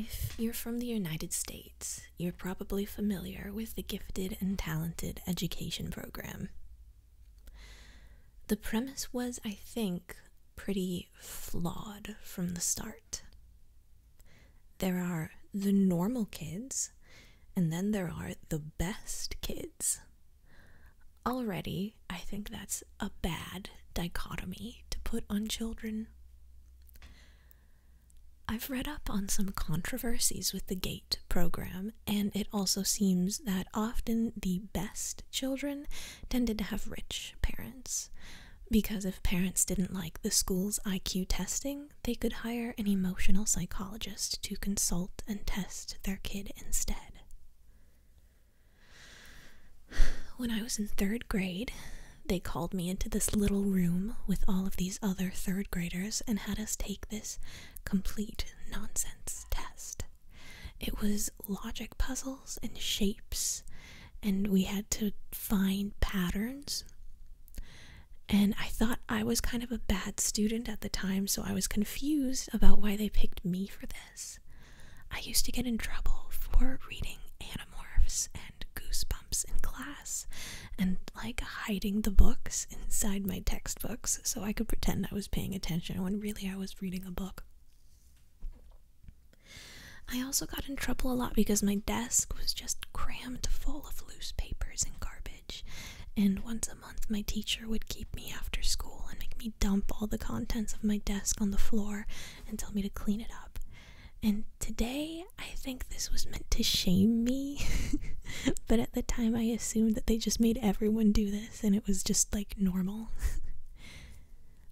If you're from the United States, you're probably familiar with the Gifted and Talented Education Program. The premise was, I think, pretty flawed from the start. There are the normal kids, and then there are the best kids. Already, I think that's a bad dichotomy to put on children. I've read up on some controversies with the GATE program, and it also seems that often the best children tended to have rich parents. Because if parents didn't like the school's IQ testing, they could hire an emotional psychologist to consult and test their kid instead. When I was in third grade, they called me into this little room with all of these other third graders and had us take this complete nonsense test. It was logic puzzles and shapes, and we had to find patterns. And I thought I was kind of a bad student at the time, so I was confused about why they picked me for this. I used to get in trouble for reading anamorphs and Goosebumps in class and like hiding the books inside my textbooks so I could pretend I was paying attention when really I was reading a book. I also got in trouble a lot because my desk was just crammed full of loose papers and garbage. And once a month, my teacher would keep me after school and make me dump all the contents of my desk on the floor and tell me to clean it up. And today, I think this was meant to shame me, but at the time, I assumed that they just made everyone do this and it was just like normal.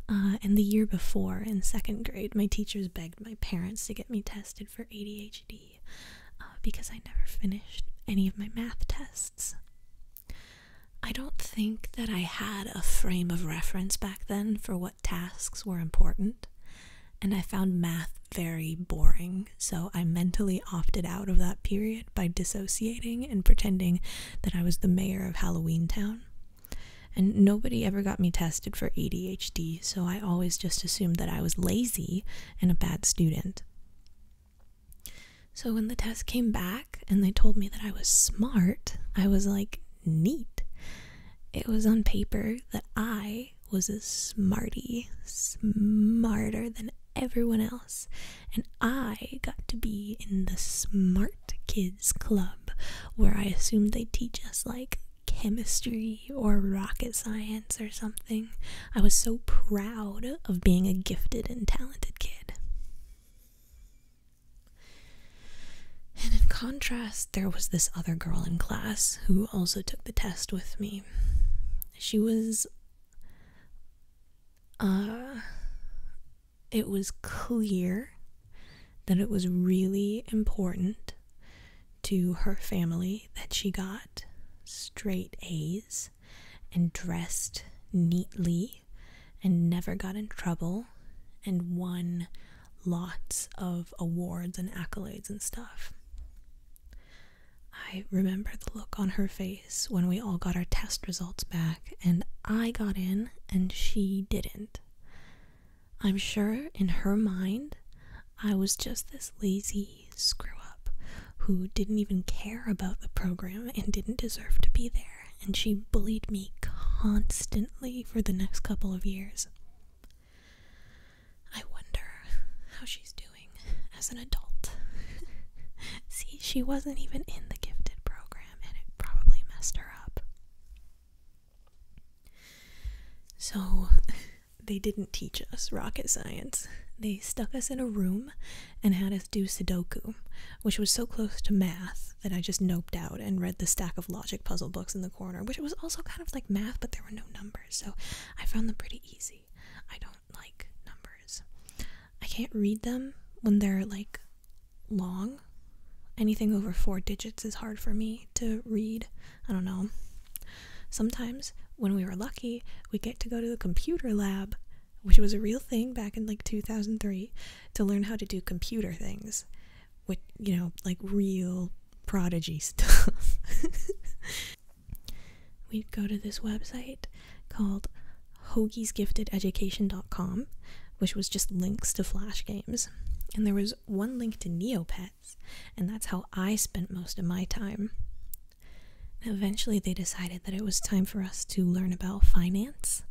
Uh, and the year before, in second grade, my teachers begged my parents to get me tested for ADHD uh, because I never finished any of my math tests. I don't think that I had a frame of reference back then for what tasks were important, and I found math very boring, so I mentally opted out of that period by dissociating and pretending that I was the mayor of Halloween Town. And nobody ever got me tested for ADHD, so I always just assumed that I was lazy and a bad student. So when the test came back and they told me that I was smart, I was like, neat. It was on paper that I was a smarty, smarter than everyone else, and I got to be in the smart kids club where I assumed they teach us like chemistry or rocket science or something. I was so proud of being a gifted and talented kid. And in contrast, there was this other girl in class who also took the test with me. She was uh it was clear that it was really important to her family that she got straight A's and dressed neatly and never got in trouble and won lots of awards and accolades and stuff. I remember the look on her face when we all got our test results back, and I got in and she didn't. I'm sure in her mind, I was just this lazy screw up who didn't even care about the program and didn't deserve to be there, and she bullied me constantly for the next couple of years. I wonder how she's doing as an adult. See, she wasn't even in the gifted program and it probably messed her up. So, they didn't teach us rocket science. They stuck us in a room and had us do Sudoku, which was so close to math that I just noped out and read the stack of logic puzzle books in the corner, which was also kind of like math, but there were no numbers, so I found them pretty easy. I don't like numbers. I can't read them when they're like long. Anything over four digits is hard for me to read. I don't know. Sometimes, when we were lucky, we get to go to the computer lab, which was a real thing back in like 2003, to learn how to do computer things. With, you know, like real prodigy stuff we'd go to this website called hoagiesgiftededucation.com, which was just links to Flash games. And there was one link to Neopets, and that's how I spent most of my time. Eventually, they decided that it was time for us to learn about finance.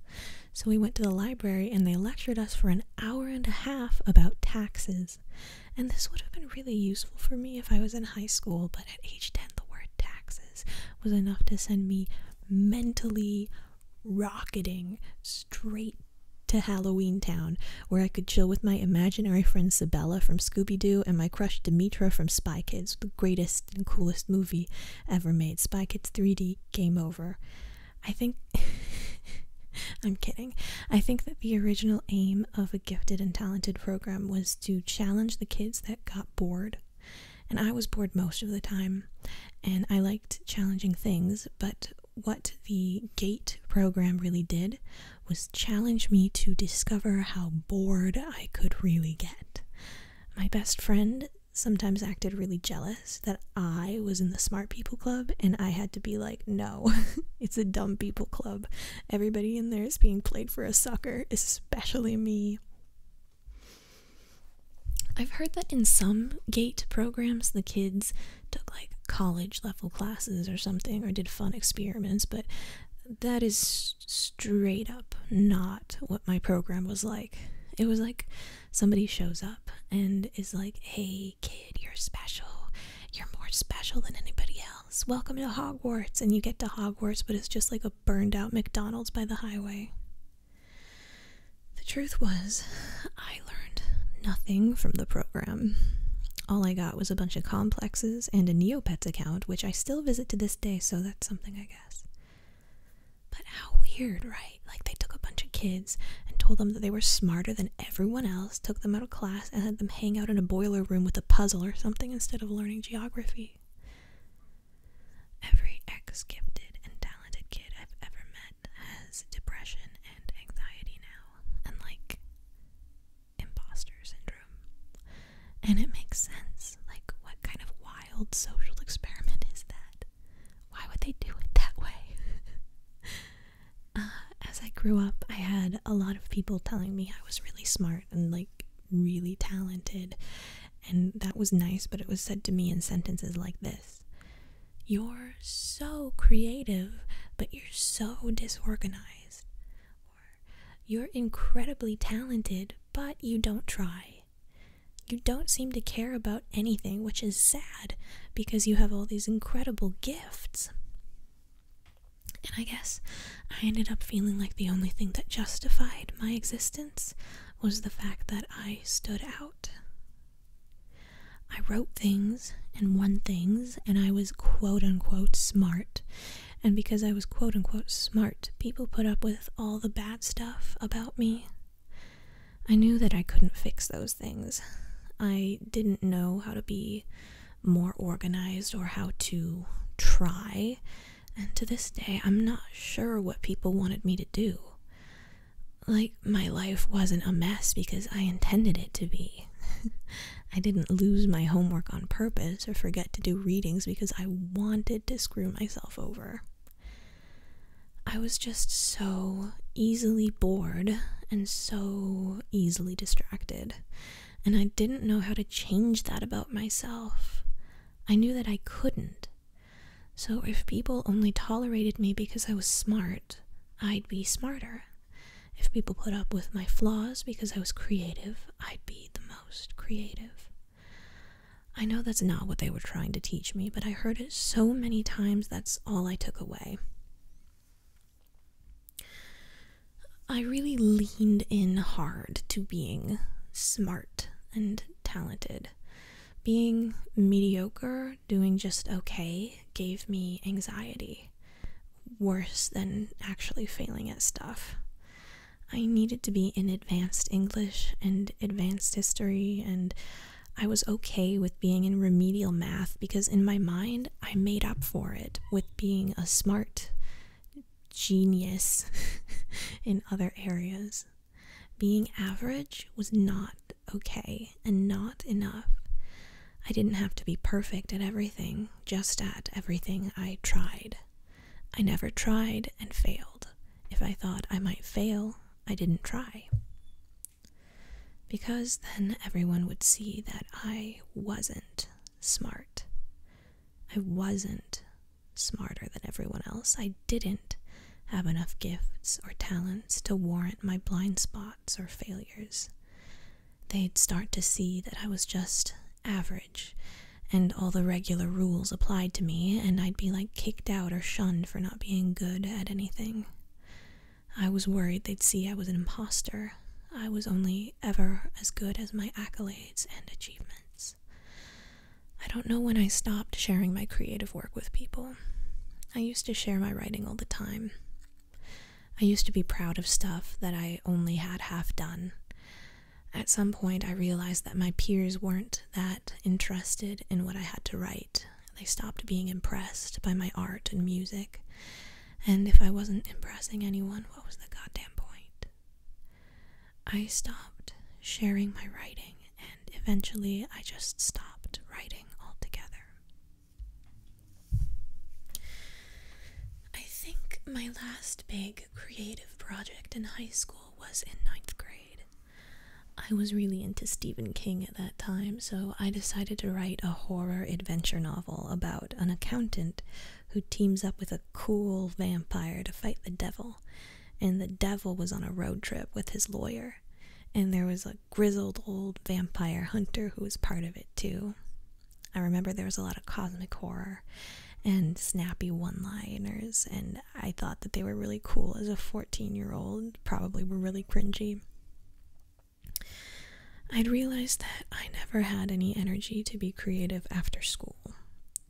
So we went to the library and they lectured us for an hour and a half about taxes. And this would have been really useful for me if I was in high school, but at age 10, the word taxes was enough to send me mentally rocketing straight to Halloween Town, where I could chill with my imaginary friend Sibella from Scooby Doo and my crush Demetra from Spy Kids, the greatest and coolest movie ever made. Spy Kids 3D, game over. I think. I'm kidding. I think that the original aim of a gifted and talented program was to challenge the kids that got bored and I was bored most of the time, and I liked challenging things, but what the GATE program really did was challenge me to discover how bored I could really get. My best friend sometimes acted really jealous that I was in the smart people club, and I had to be like, no, it's a dumb people club. Everybody in there is being played for a sucker, especially me. I've heard that in some GATE programs, the kids took like college level classes or something or did fun experiments, but that is straight up not what my program was like. It was like somebody shows up and is like, hey, kid, you're special. You're more special than anybody else. Welcome to Hogwarts. And you get to Hogwarts, but it's just like a burned out McDonald's by the highway. The truth was, I learned nothing from the program. All I got was a bunch of complexes and a Neopets account, which I still visit to this day, so that's something, I guess. But how weird, right? Like, they took a bunch of kids and told them that they were smarter than everyone else, took them out of class, and had them hang out in a boiler room with a puzzle or something instead of learning geography. Every ex gifted and talented kid I've ever met has depression and anxiety now, and like imposter syndrome. And it makes sense. Like, what kind of wild social experiment is that? Why would they do it that way? Uh, as I grew up, I had a lot of people telling me I was really smart and like really talented. And that was nice, but it was said to me in sentences like this You're so creative, but you're so disorganized. Or You're incredibly talented, but you don't try. You don't seem to care about anything, which is sad because you have all these incredible gifts. And I guess I ended up feeling like the only thing that justified my existence was the fact that I stood out. I wrote things and won things, and I was quote unquote smart. And because I was quote unquote smart, people put up with all the bad stuff about me. I knew that I couldn't fix those things. I didn't know how to be more organized or how to try and to this day I'm not sure what people wanted me to do. Like, my life wasn't a mess because I intended it to be. I didn't lose my homework on purpose or forget to do readings because I wanted to screw myself over. I was just so easily bored and so easily distracted and I didn't know how to change that about myself. I knew that I couldn't. So if people only tolerated me because I was smart, I'd be smarter. If people put up with my flaws because I was creative, I'd be the most creative. I know that's not what they were trying to teach me, but I heard it so many times that's all I took away. I really leaned in hard to being smart and talented. Being mediocre, doing just okay, gave me anxiety, worse than actually failing at stuff. I needed to be in advanced English and advanced history, and I was okay with being in remedial math because in my mind I made up for it with being a smart, genius in other areas. Being average was not okay and not enough. I didn't have to be perfect at everything, just at everything I tried. I never tried and failed. If I thought I might fail, I didn't try. Because then everyone would see that I wasn't smart. I wasn't smarter than everyone else. I didn't have enough gifts or talents to warrant my blind spots or failures. They'd start to see that I was just average, and all the regular rules applied to me, and I'd be like kicked out or shunned for not being good at anything. I was worried they'd see I was an imposter. I was only ever as good as my accolades and achievements. I don't know when I stopped sharing my creative work with people. I used to share my writing all the time. I used to be proud of stuff that I only had half done. At some point, I realized that my peers weren't that interested in what I had to write. They stopped being impressed by my art and music. And if I wasn't impressing anyone, what was the goddamn point? I stopped sharing my writing and eventually I just stopped writing altogether. I think my last big creative project in high school was in ninth grade. I was really into Stephen King at that time, so I decided to write a horror adventure novel about an accountant who teams up with a cool vampire to fight the devil. And the devil was on a road trip with his lawyer. And there was a grizzled old vampire hunter who was part of it too. I remember there was a lot of cosmic horror and snappy one liners, and I thought that they were really cool as a 14 year old, probably were really cringy. I'd realized that I never had any energy to be creative after school.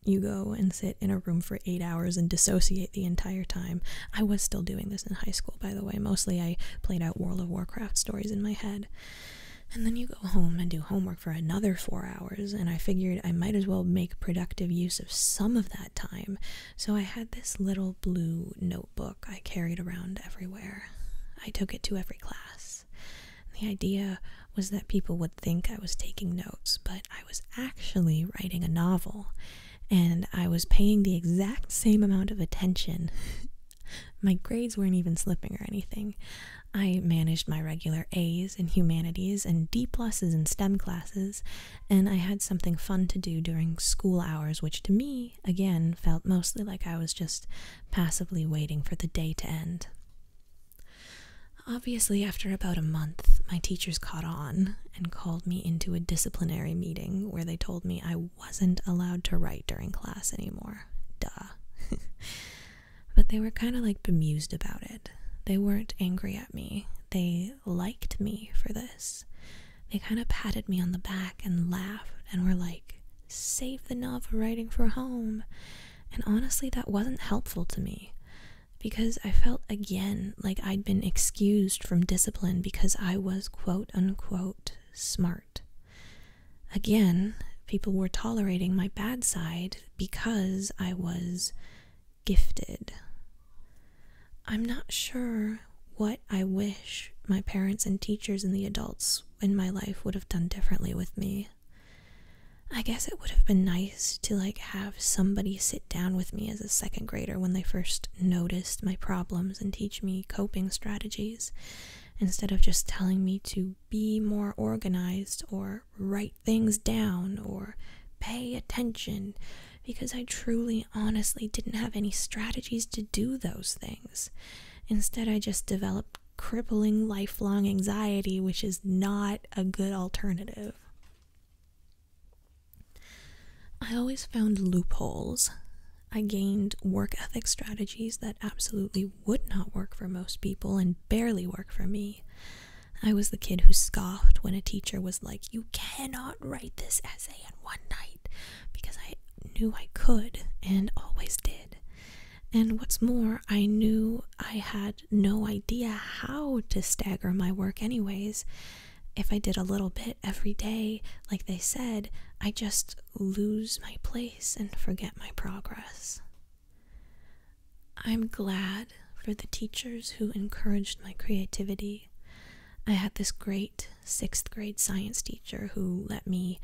You go and sit in a room for eight hours and dissociate the entire time. I was still doing this in high school, by the way. Mostly I played out World of Warcraft stories in my head. And then you go home and do homework for another four hours, and I figured I might as well make productive use of some of that time. So I had this little blue notebook I carried around everywhere. I took it to every class. The idea was that people would think I was taking notes, but I was actually writing a novel, and I was paying the exact same amount of attention. my grades weren't even slipping or anything. I managed my regular A's in humanities and D pluses in STEM classes, and I had something fun to do during school hours, which to me, again, felt mostly like I was just passively waiting for the day to end. Obviously, after about a month, my teachers caught on and called me into a disciplinary meeting where they told me I wasn't allowed to write during class anymore. Duh. but they were kind of like bemused about it. They weren't angry at me, they liked me for this. They kind of patted me on the back and laughed and were like, save the novel writing for home. And honestly, that wasn't helpful to me because I felt again like I'd been excused from discipline because I was quote unquote smart. Again, people were tolerating my bad side because I was gifted. I'm not sure what I wish my parents and teachers and the adults in my life would have done differently with me. I guess it would have been nice to like have somebody sit down with me as a second grader when they first noticed my problems and teach me coping strategies instead of just telling me to be more organized or write things down or pay attention because I truly honestly didn't have any strategies to do those things. Instead, I just developed crippling lifelong anxiety, which is not a good alternative. I always found loopholes. I gained work ethic strategies that absolutely would not work for most people and barely work for me. I was the kid who scoffed when a teacher was like, You cannot write this essay in one night, because I knew I could and always did. And what's more, I knew I had no idea how to stagger my work, anyways. If I did a little bit every day, like they said, I just lose my place and forget my progress. I'm glad for the teachers who encouraged my creativity. I had this great sixth grade science teacher who let me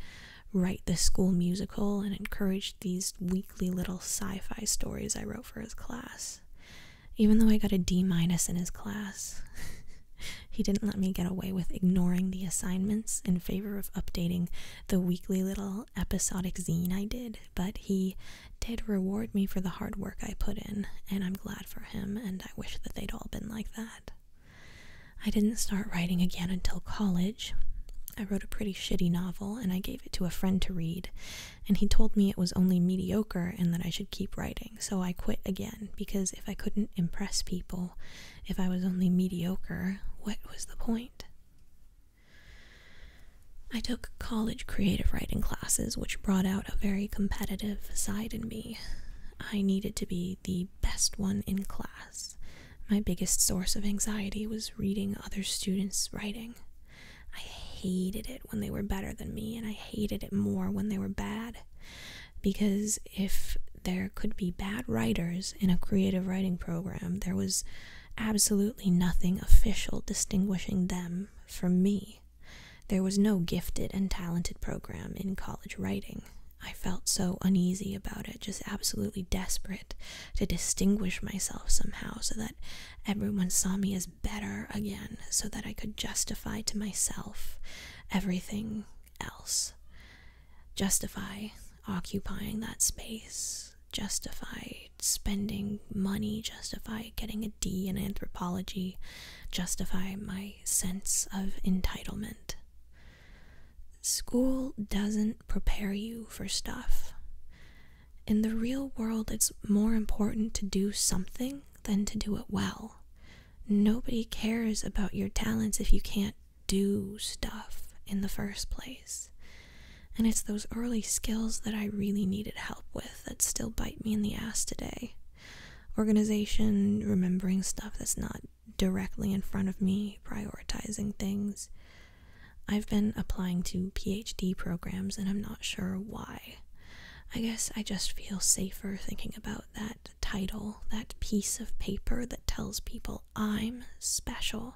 write the school musical and encouraged these weekly little sci-fi stories I wrote for his class. Even though I got a D minus in his class, he didn't let me get away with ignoring the assignments in favor of updating the weekly little episodic zine I did, but he did reward me for the hard work I put in, and I'm glad for him and I wish that they'd all been like that. I didn't start writing again until college. I wrote a pretty shitty novel and I gave it to a friend to read, and he told me it was only mediocre and that I should keep writing, so I quit again because if I couldn't impress people, if I was only mediocre, what was the point? I took college creative writing classes, which brought out a very competitive side in me. I needed to be the best one in class my biggest source of anxiety was reading other students' writing. I hated it when they were better than me, and I hated it more when they were bad. Because if there could be bad writers in a creative writing program, there was absolutely nothing official distinguishing them from me. There was no gifted and talented program in college writing, I felt so uneasy about it, just absolutely desperate to distinguish myself somehow so that everyone saw me as better again, so that I could justify to myself everything else. Justify occupying that space, justify spending money, justify getting a D in anthropology, justify my sense of entitlement. School doesn't prepare you for stuff. In the real world, it's more important to do something than to do it well. Nobody cares about your talents if you can't do stuff in the first place. And it's those early skills that I really needed help with that still bite me in the ass today. Organization, remembering stuff that's not directly in front of me prioritizing things. I've been applying to PhD programs and I'm not sure why. I guess I just feel safer thinking about that title, that piece of paper that tells people I'm special,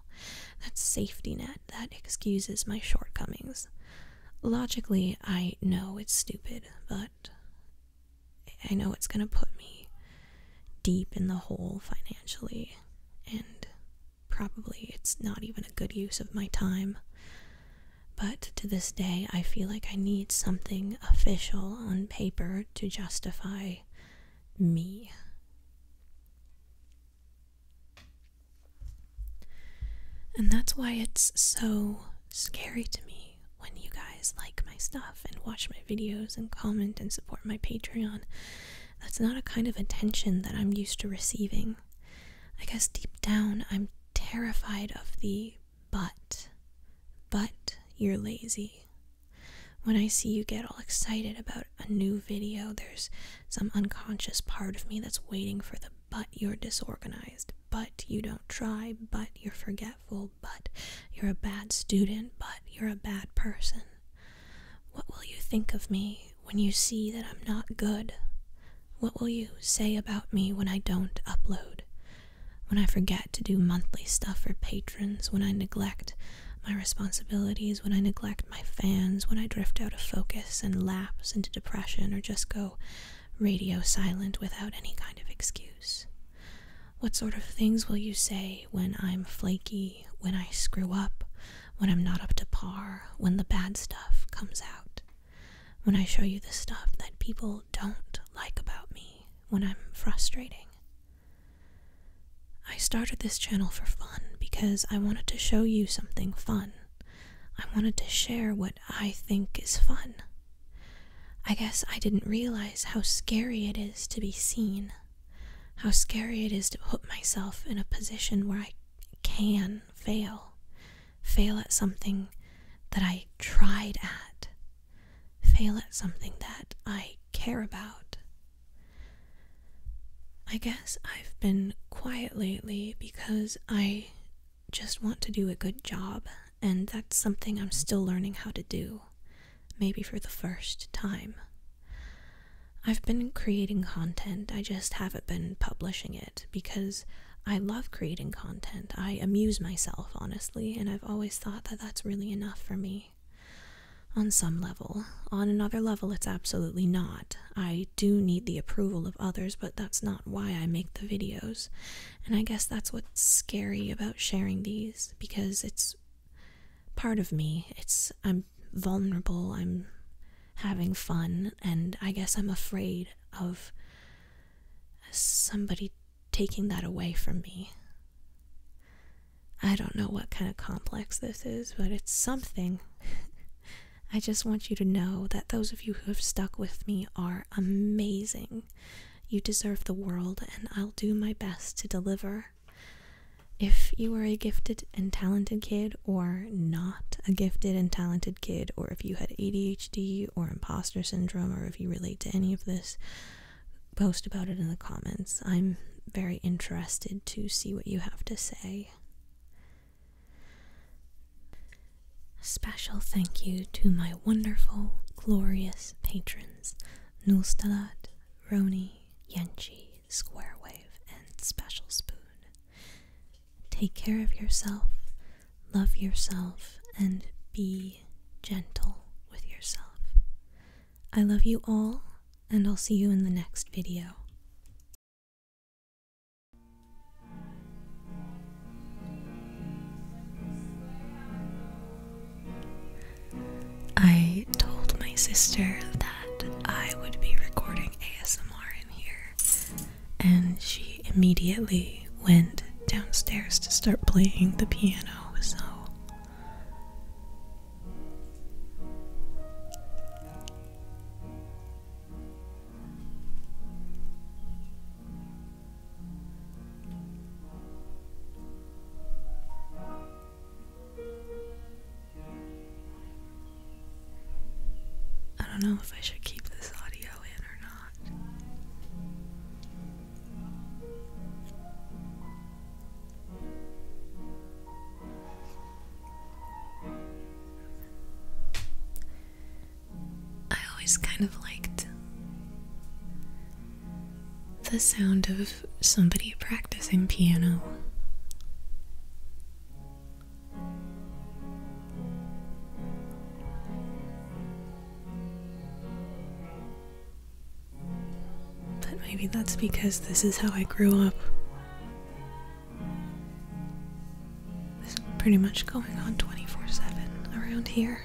that safety net that excuses my shortcomings. Logically, I know it's stupid, but I know it's going to put me deep in the hole financially, and probably it's not even a good use of my time. But to this day, I feel like I need something official on paper to justify me. And that's why it's so scary to me when you guys like my stuff and watch my videos and comment and support my Patreon. That's not a kind of attention that I'm used to receiving. I guess deep down I'm terrified of the but. But you're lazy. When I see you get all excited about a new video, there's some unconscious part of me that's waiting for the but you're disorganized, but you don't try, but you're forgetful but you're a bad student, but you're a bad person. What will you think of me when you see that I'm not good? What will you say about me when I don't upload? When I forget to do monthly stuff for patrons, when I neglect my responsibilities, when I neglect my fans, when I drift out of focus and lapse into depression or just go radio silent without any kind of excuse? What sort of things will you say when I'm flaky, when I screw up, when I'm not up to par, when the bad stuff comes out? When I show you the stuff that people don't like about me, when I'm frustrating? I started this channel for fun because I wanted to show you something fun. I wanted to share what I think is fun. I guess I didn't realize how scary it is to be seen, how scary it is to put myself in a position where I can fail, fail at something that I tried at, fail at something that I care about. I guess I've been quiet lately because I just want to do a good job and that's something I'm still learning how to do, maybe for the first time. I've been creating content, I just haven't been publishing it because I love creating content. I amuse myself, honestly, and I've always thought that that's really enough for me. On some level. On another level, it's absolutely not. I do need the approval of others, but that's not why I make the videos. And I guess that's what's scary about sharing these because it's part of me. It's I'm vulnerable, I'm having fun, and I guess I'm afraid of somebody taking that away from me. I don't know what kind of complex this is, but it's something. I just want you to know that those of you who have stuck with me are amazing. You deserve the world, and I'll do my best to deliver. If you are a gifted and talented kid, or not a gifted and talented kid, or if you had ADHD or imposter syndrome, or if you relate to any of this, post about it in the comments. I'm very interested to see what you have to say. Special thank you to my wonderful, glorious patrons Nulstalat, Roni, Yenchi, Squarewave, and Special Spoon. Take care of yourself, love yourself, and be gentle with yourself. I love you all, and I'll see you in the next video. I told my sister that I would be recording ASMR in here, and she immediately went downstairs to start playing the piano, so. I don't know if I should keep this audio in or not. I always kind of liked the sound of somebody practicing piano. But maybe that's because this is how I grew up. This is pretty much going on 24 7 around here.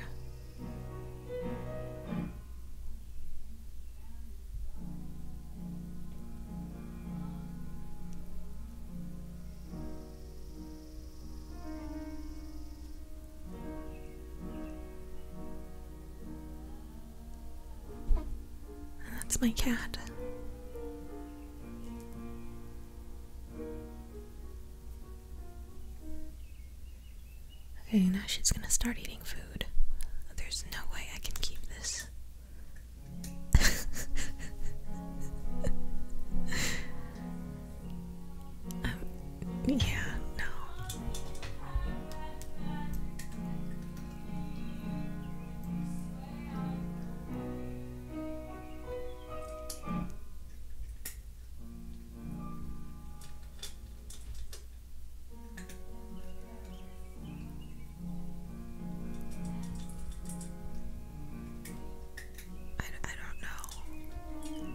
That's my cat. Okay, now she's gonna start eating food. There's no way I can keep this. Um, yeah, no. I, I don't know.